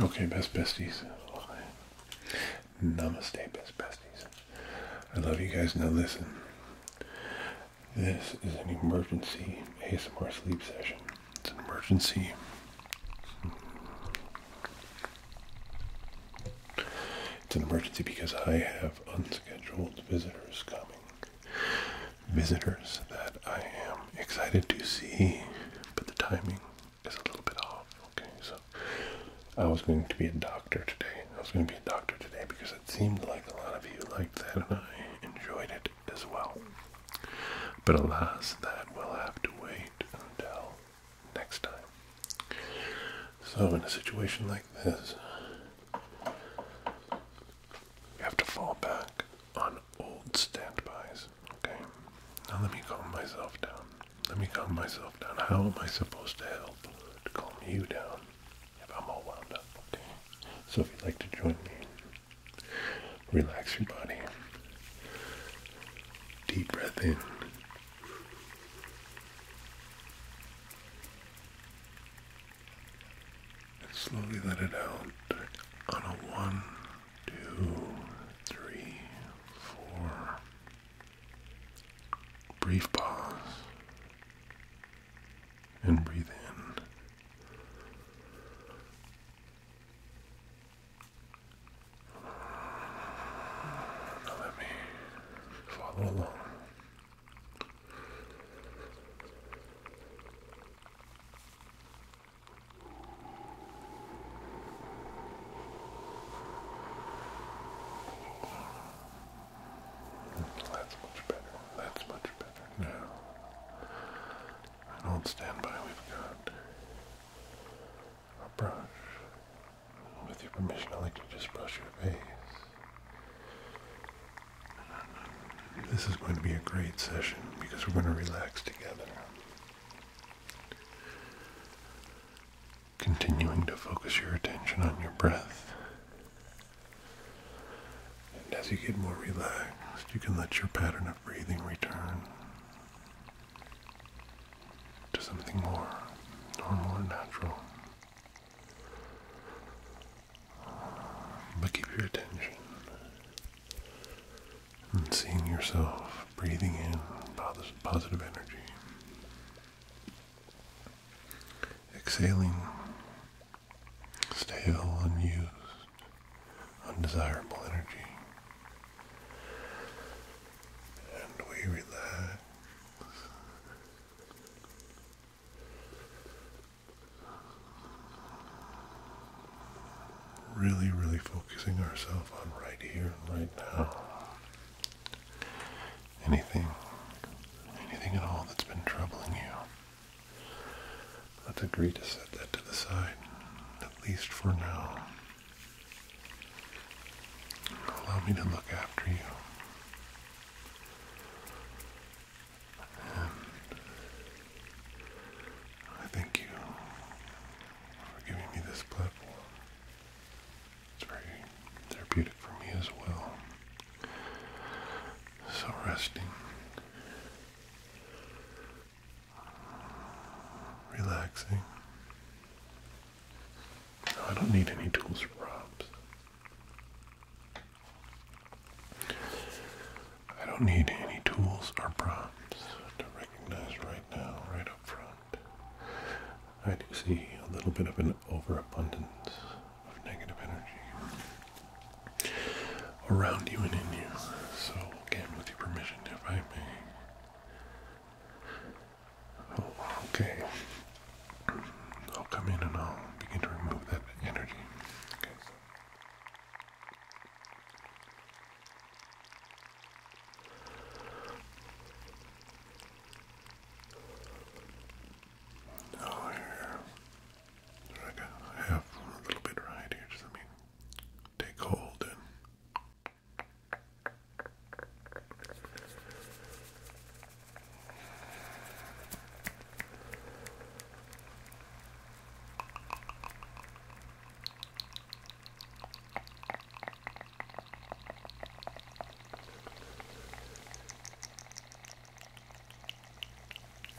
Okay, best besties. Namaste, best besties. I love you guys. Now listen. This is an emergency ASMR sleep session. It's an emergency. It's an emergency because I have unscheduled visitors coming. Visitors that I am excited to see, but the timing is a little bit off. Okay, so I was going to be a doctor today. I was going to be a doctor today because it seemed like a lot of you liked that and I enjoyed it as well. But alas, that will have to wait until next time. So, in a situation like this, you have to fall back on old standbys. Okay? Now, let me calm myself down. Let me calm myself down. How am I supposed to help calm you down if I'm all wound up? Okay? So, if you'd like to join me Relax your body. Deep breath in. And slowly let it out on a one, two, three, four. Brief pause. And breathe in. Now let me follow along. That's much better. That's much better. Now, i And stand by. we've got a brush. With your permission, I'd like to just brush your face. This is going to be a great session because we're going to relax together. Continuing to focus your attention on your breath. And as you get more relaxed, you can let your pattern of breathing return to something more normal and natural. But keep your attention and seeing yourself breathing in positive energy, exhaling stale, unused, undesirable energy. And we relax. Really, really focusing ourselves on right here right now. Anything, anything at all that's been troubling you, Let's agree to set that to the side, at least for now. Allow me to look after you. I thank you for giving me this platform. It's very therapeutic for me as well. So resting relaxing. I don't need any tools or prompts. I don't need any tools or props to recognize right now, right up front. I do see a little bit of an overabundance of negative energy around you and in you. So Again, with your permission, if I may. okay. I'll come in and I'll begin to remove that energy. Okay. Now here, I a little bit right here. Just let me take hold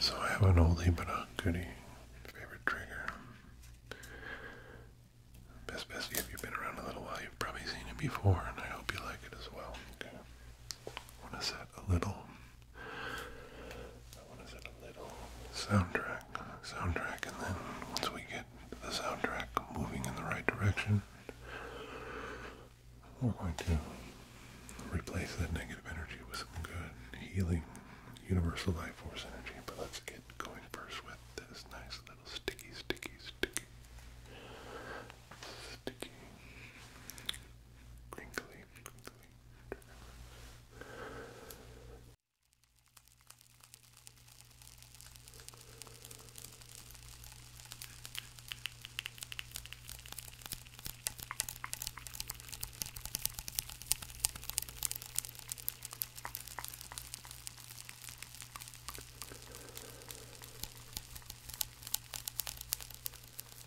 so I have an oldie but a goodie favorite trigger. Best Bestie, if you've been around a little while, you've probably seen it before, and I hope you like it as well. want to set a little I want to set a little soundtrack, soundtrack, and then once we get the soundtrack moving in the right direction, we're going to replace that negative energy with some good healing universal life force energy. But let's get going first with this nice little sticky, sticky, sticky, sticky crinkly, crinkly. Good.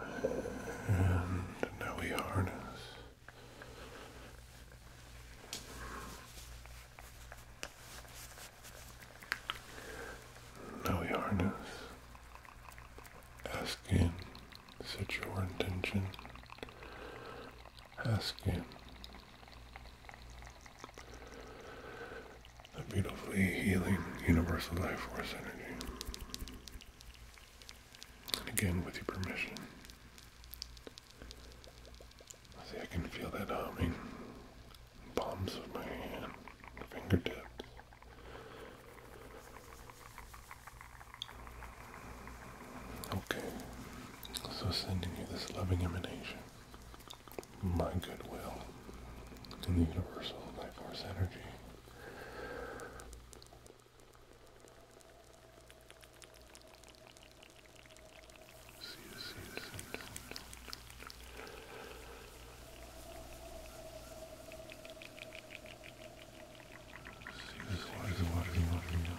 And now we harness now we harness asking set your intention Ask asking the beautifully healing universal life force energy and again, with your permission. See, I can feel that humming. Palms of my hand, fingertips. Okay, so sending you this loving emanation, my goodwill, and the universal life force energy. See the sea, the sea, the sea. See the water, the water, the water, the water.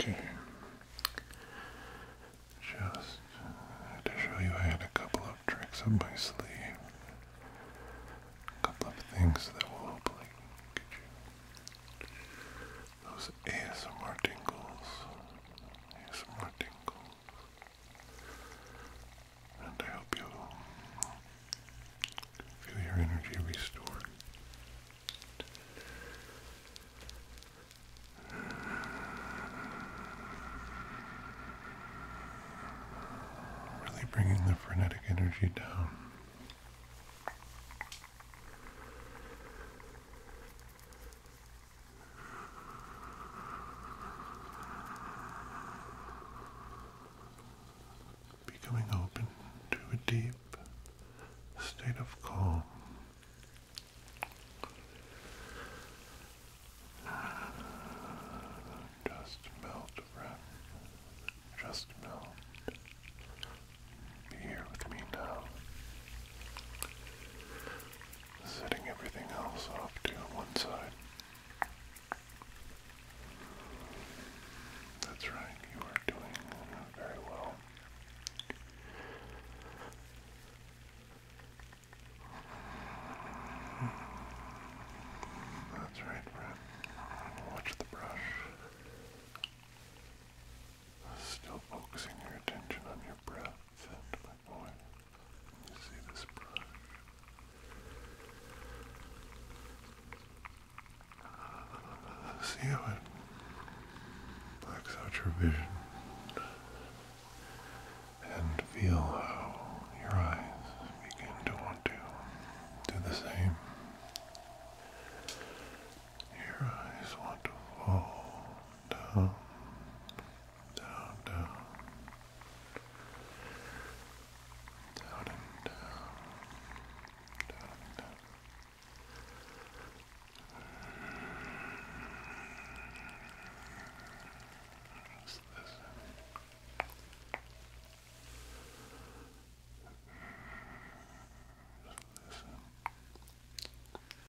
Okay. Just to show you, I had a couple of tricks up my sleeve. A couple of things that will hopefully get you those ASMR tingles. ASMR tingles. And I hope you feel your energy restored. Really bringing the frenetic energy down becoming open to a deep state of calm. Just melt, breath. Just melt. Be here with me now setting everything else off to one side. That's right, you are doing very well. That's right, Brett. Watch the brush. Still focusing your attention on your breath see this brush? see how it blacks out your vision and feel how your eyes begin to want to do the same. Your eyes want to fall down, down, down, down and down, down and down. Just listen. Just listen.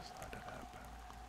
Just let it happen.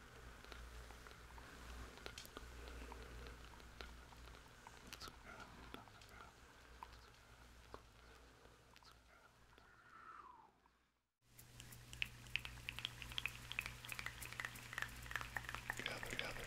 Gather, gather, gather.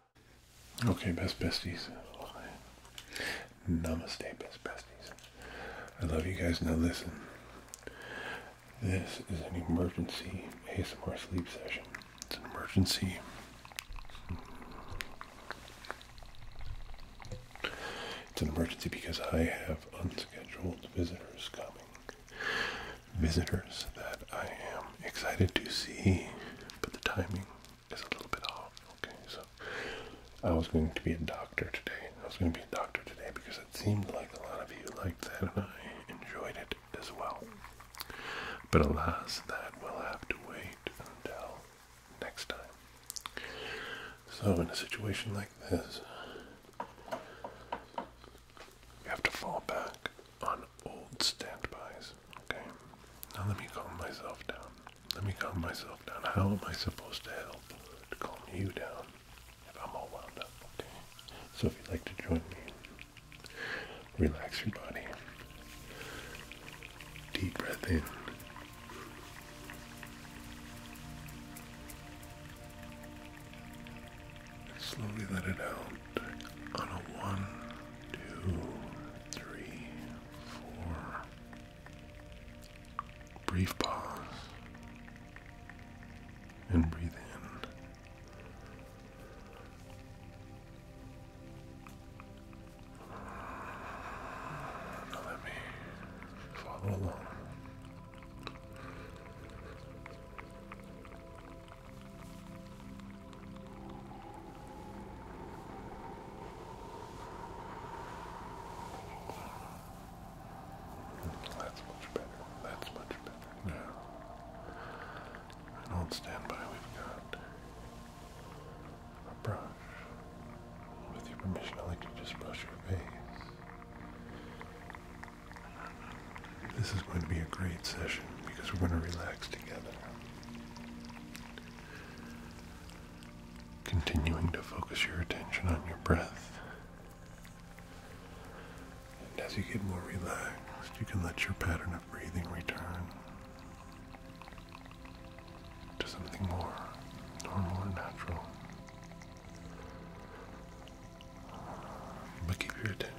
Okay, best besties. Namaste, best besties. I love you guys. Now listen. This is an emergency ASMR sleep session. It's an emergency. It's an emergency because I have unscheduled visitors coming. Visitors that I am excited to see, but the timing is a little bit off. Okay, so I was going to be a doctor today. I was going to be a doctor today because it seemed like a lot of you liked that and I enjoyed it as well. But alas, that will have to wait until next time. So, in a situation like this, you have to fall back on old standbys. Okay, now let me calm myself down. Let me calm myself down. How am I supposed to help calm you down if I'm all wound up? Okay, so if you'd like to join me, relax your body. Deep breath in. Slowly let it out on a one, two, three, four. Brief pause and breathe in. Now let me follow along. That's much better. That's much better. Now, and on standby, we've got a brush. With your permission, I'd like to just brush your face. This is going to be a great session because we're going to relax together. Continuing to focus your attention on your breath. And as you get more relaxed, you can let your pattern of breathing return to something more normal natural. But keep your attention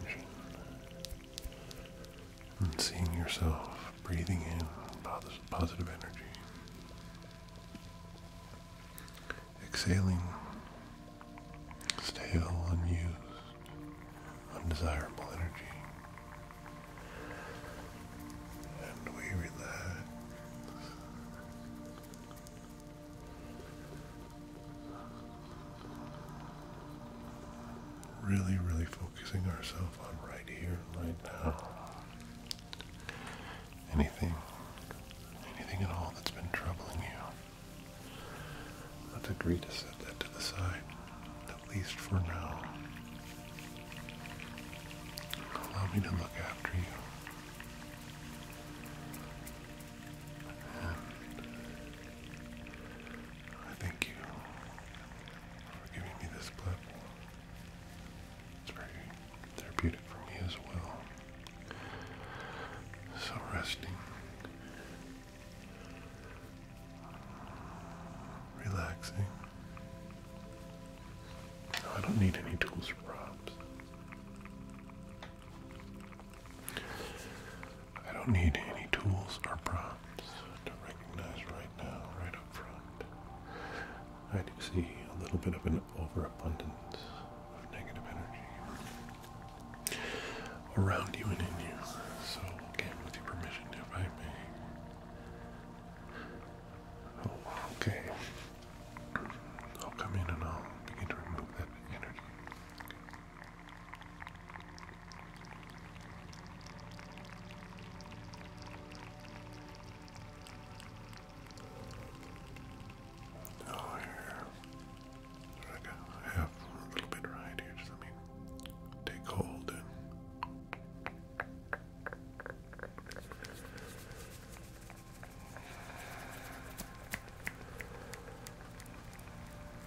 and seeing yourself breathing in positive energy, exhaling stale, unused, undesirable energy, and we relax. Really, really fun focusing ourselves on right here, right now. Anything, anything at all that's been troubling you. Let's agree to set that to the side, at least for now. Allow me to look after you. I think you for giving me this platform. It's very therapeutic for me as well. So resting, relaxing. I don't need any tools or props. I don't need any tools or props to recognize right now, right up front. I do see a little bit of an overabundance of negative energy around you and in you. So, with your permission, if I may. Oh, okay. I'll come in and I'll begin to remove that energy. Oh, here. I got half a little bit right here. Just let me take hold and.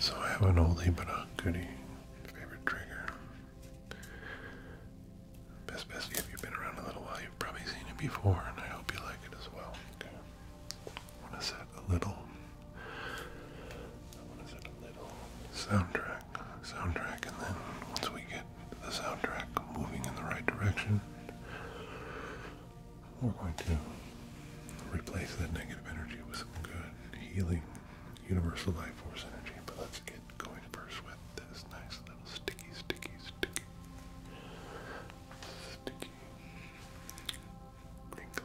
So I have an oldie but a goodie. Favorite trigger. Best best if you've been around a little while, you've probably seen it before, and I hope you like it as well. Okay. I want to set a little. I want to set a little soundtrack, soundtrack, and then once we get the soundtrack moving in the right direction, we're going to replace that negative energy with some good, healing, universal life force energy. But let's get going first with this nice little sticky, sticky, sticky, sticky, crinkly,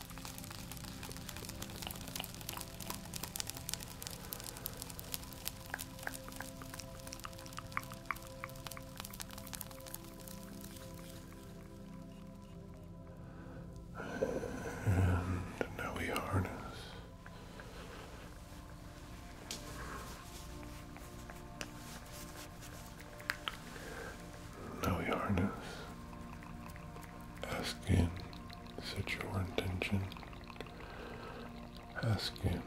And now we harness now we harness Ask Him, set your intention. Ask Him.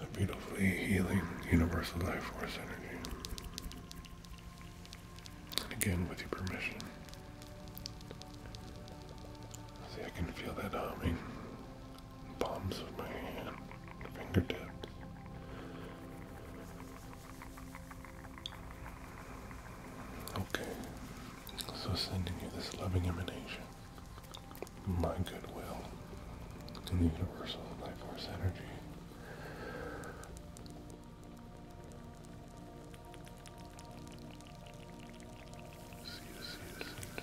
The beautifully healing universal life force energy. And again, with your permission. See, I can feel that humming. Palms of my hand, fingertips. Okay, so sending you this loving emanation, my goodwill, and the universal life force energy. See you, see you, see you.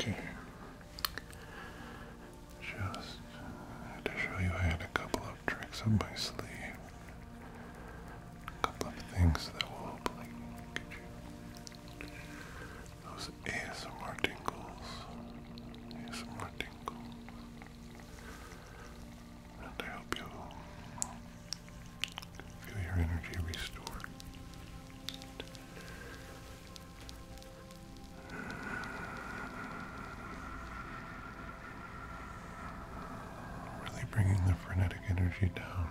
Okay. Just to show you I had a couple of tricks up my sleeve. A couple things that will hopefully those ASMR tingles. ASMR tingles. And I hope you feel your energy restored. Really bringing the frenetic energy down.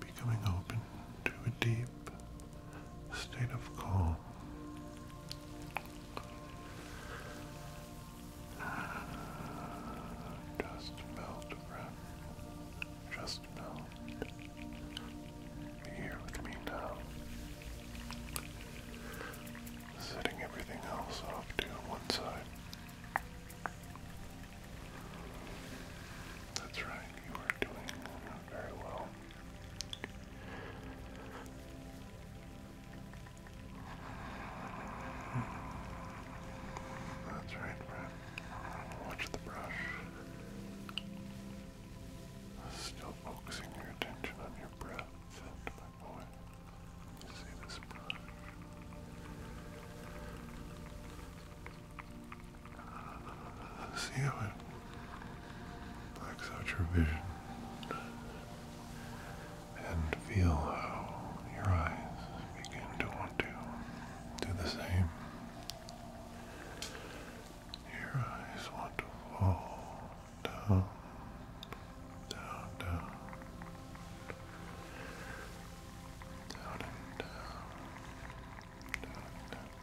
Becoming open to a deep state of calm. Just melt, Just melt. here with me now. Setting everything else off to one side. That's right, you are doing very well. That's right, Brett. Watch the brush. Still focusing your attention on your breath my boy. see this brush. See how it blacks out your vision and feel how your eyes begin to want to do the same. Your eyes want to fall down, down, down, down down, down, down, down